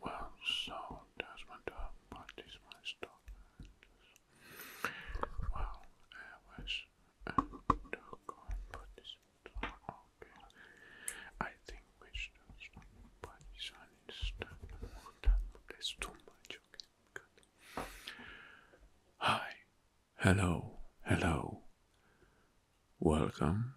Well, so that's my dog, but this my stock. Well, I was a dog but this one, okay. I think we should but this one is done. That's too much, okay. Good. Hi, hello, hello. Welcome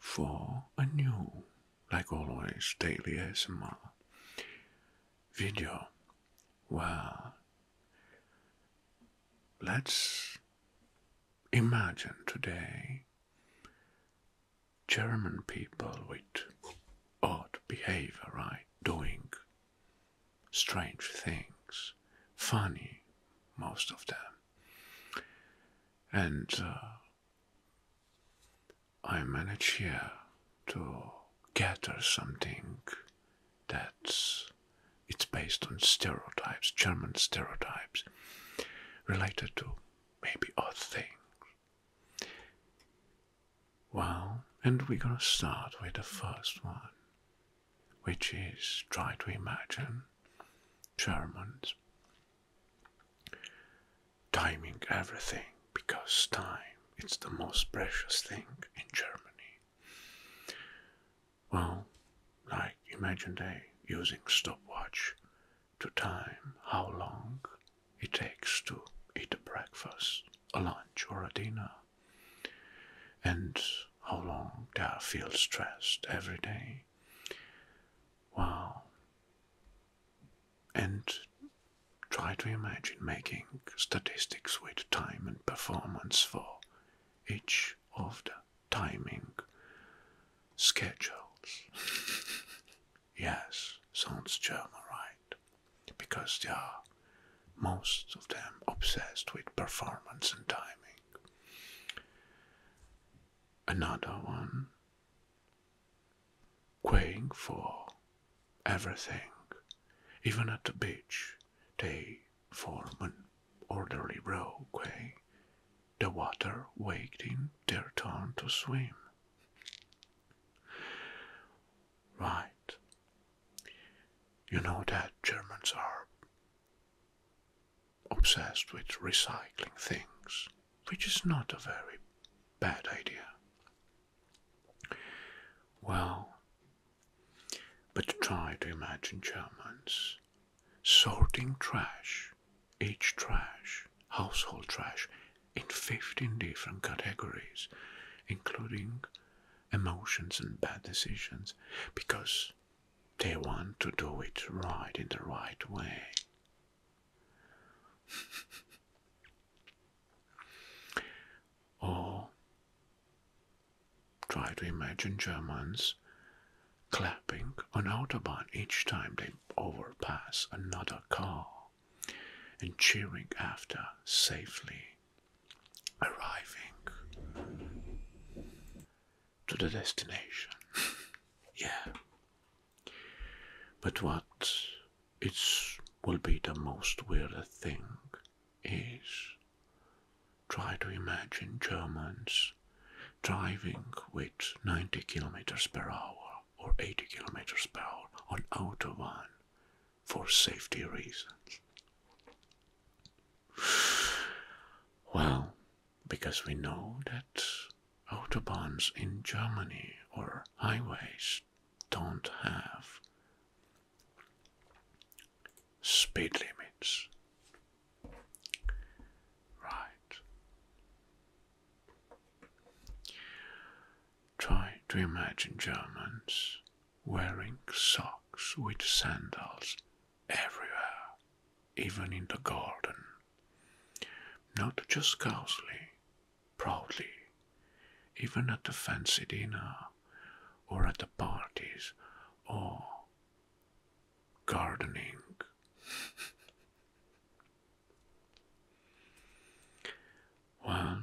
for a new, like always, daily ASMR video. Well, let's imagine today German people with odd behavior, right? Doing strange things, funny, most of them and uh, I manage here to gather something that's it's based on stereotypes, German stereotypes, related to maybe odd things. Well, and we're gonna start with the first one, which is try to imagine Germans. Timing everything because time is the most precious thing in Germany. Well, like imagine they using stopwatch to time how long it takes to eat a breakfast, a lunch or a dinner, and how long they feel stressed every day. Wow. And try to imagine making statistics with time and performance for each of the timing schedules. yes, sounds German, right? Because they are most of them obsessed with performance and timing. Another one Queuing for everything. Even at the beach, they form an orderly row quay, the water waiting their turn to swim. Right. You know that Germans are obsessed with recycling things, which is not a very bad idea. Well, but try to imagine Germans sorting trash, each trash, household trash, in 15 different categories, including emotions and bad decisions, because they want to do it right in the right way. or try to imagine Germans clapping on autobahn each time they overpass another car and cheering after safely arriving to the destination. yeah. But what it will be the most weird thing is try to imagine Germans driving with 90 kilometers per hour or 80 kilometers per hour on autobahn for safety reasons. Well, because we know that autobahns in Germany or highways don't have speed limits. Right. Try to imagine Germans wearing socks with sandals everywhere, even in the garden. Not just cowsley, proudly, even at the fancy dinner, or at the parties, or gardening. well,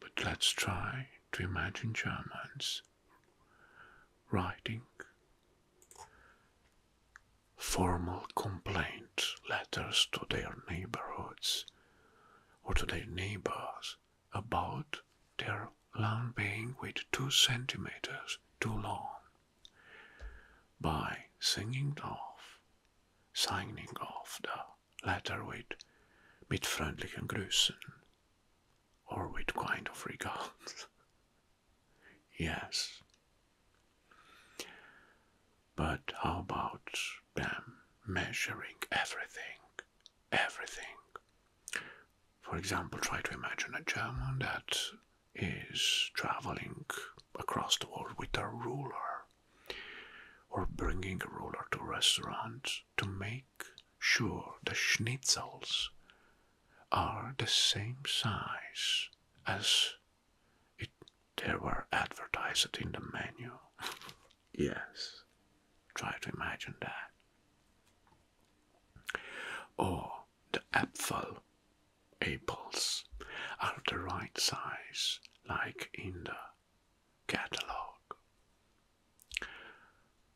but let's try to imagine Germans writing formal complaint letters to their neighborhoods or to their neighbors about their lawn being with two centimeters too long by singing off, signing off the Letterwood with friendly Grüßen or with kind of regards. yes. But how about them measuring everything? Everything. For example, try to imagine a German that is traveling across the world with a ruler or bringing a ruler to restaurants to make sure the schnitzels are the same size as it they were advertised in the menu. yes, try to imagine that. Or the apfel apples are the right size, like in the catalog?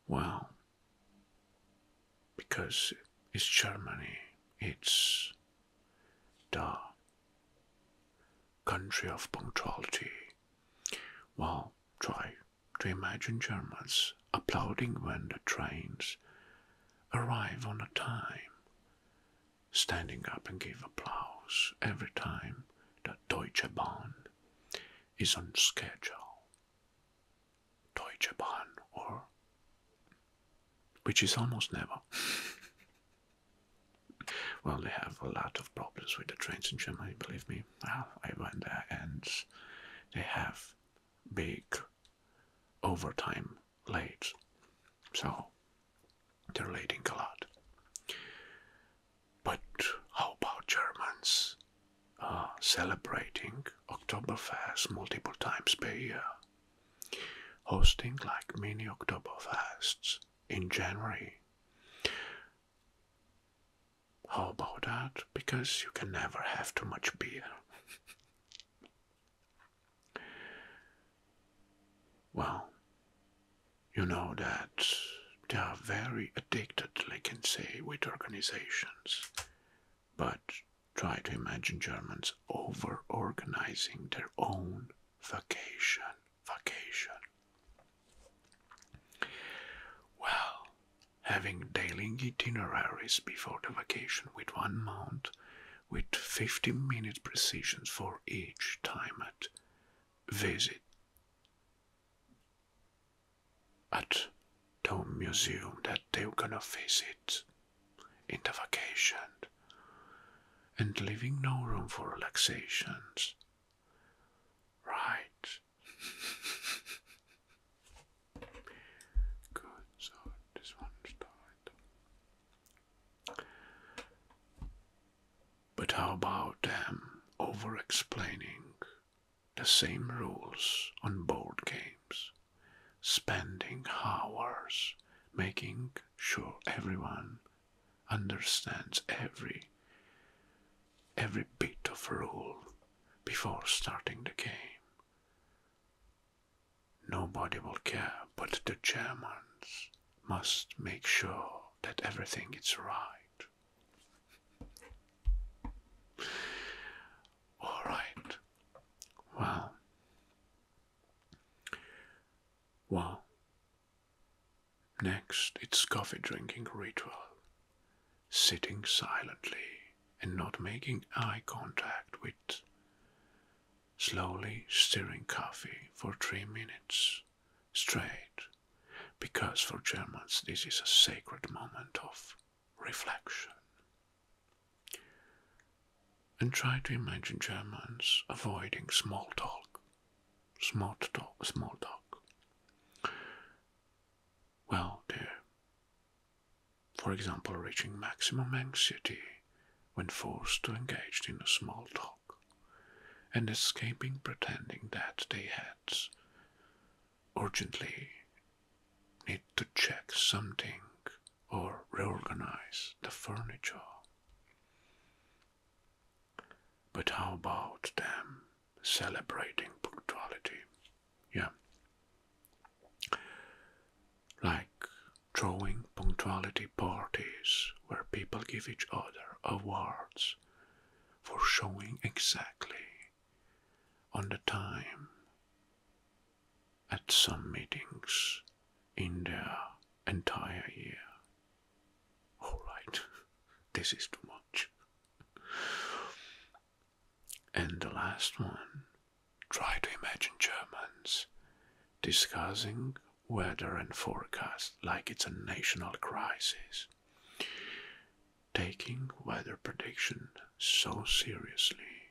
Well, because it's Germany, it's the country of punctuality. Well, try to imagine Germans applauding when the trains arrive on a time standing up and give applause every time the Deutsche Bahn is on schedule. Deutsche Bahn, or which is almost never. well, they have a lot of problems with the trains in Germany, believe me. Well, ah, I went there and they have big overtime late. So they're leading a lot. But how about Germans uh, celebrating Oktoberfest multiple times per year? Hosting like mini Oktoberfests in January. How about that? Because you can never have too much beer. Well, you know that they are very addicted, like I can say, with organizations. But try to imagine Germans over organizing their own vacation. Vacation. Well, having daily itineraries before the vacation with one mount with 50 minute precision for each time at visit at the museum that they're gonna visit in the vacation and leaving no room for relaxations. Right. Good, so this one started. But how about them over explaining the same rules on board games, spending hours making sure everyone understands every every bit of rule before starting the game Nobody will care, but the Germans must make sure that everything is right. All right. Well. Well. Next, it's coffee drinking ritual. Sitting silently and not making eye contact with slowly stirring coffee for three minutes straight, because for Germans this is a sacred moment of reflection. And try to imagine Germans avoiding small talk. Small talk, small talk. Well, dear, for example, reaching maximum anxiety when forced to engage in a small talk, and escaping pretending that they had urgently need to check something or reorganize the furniture. But how about them celebrating punctuality? Yeah like throwing punctuality parties where people give each other awards for showing exactly on the time at some meetings in the entire year. Alright, this is too much. And the last one try to imagine Germans discussing weather and forecast like it's a national crisis, taking weather prediction so seriously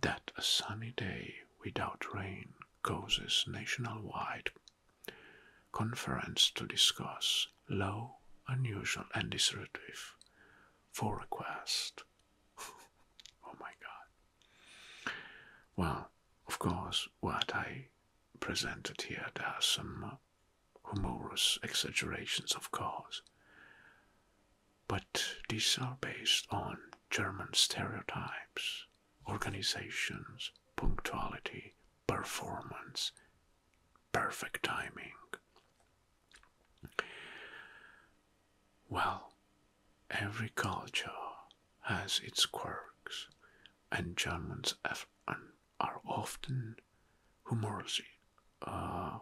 that a sunny day without rain causes nationwide conference to discuss low, unusual and disruptive forecast oh my God. Well, of course, what I presented here, there are some humorous exaggerations, of course. But these are based on German stereotypes, organizations, punctuality, performance, perfect timing, well, every culture has its quirks, and Germans are often humorously, uh,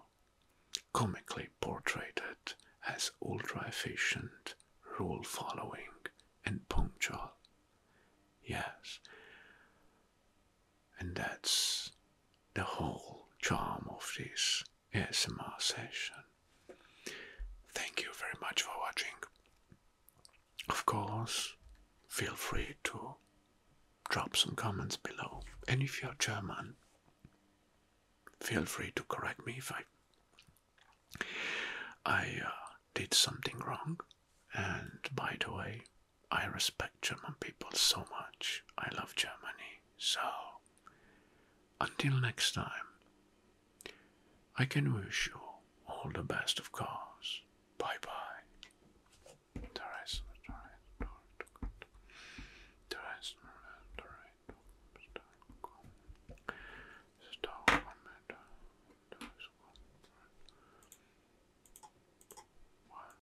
comically portrayed as ultra efficient, rule following, and punctual. Yes, and that's the whole charm of this ASMR session. Thank you very much for watching. Of course, feel free to drop some comments below. And if you're German, feel free to correct me if I uh, did something wrong. And by the way, I respect German people so much. I love Germany. So, until next time, I can wish you all the best, of cars. Bye bye.